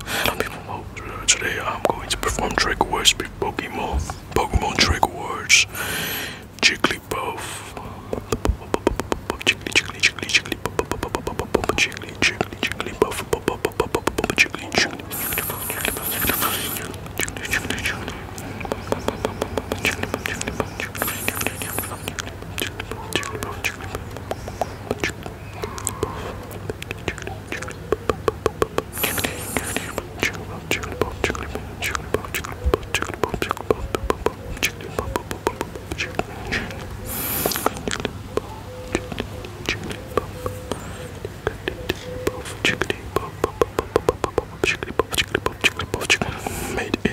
Hello people, today I'm going to perform trick words with Pokemon. Pokemon trick words. Jigglypuff. Jiggly, Made in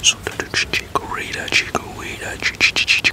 Chikorita, Chikorita, Chikorita,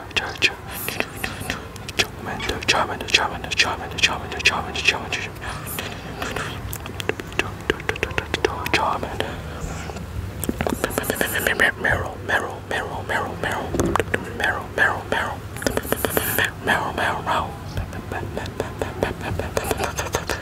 Charmander, Charmander, Charmander, Charmander, Charmander, Charmander, Charmander, Charmander, Meryl, Meryl, Meryl, Meryl, Meryl, Meryl, Meryl, Meryl, Meryl, Meryl, Meryl,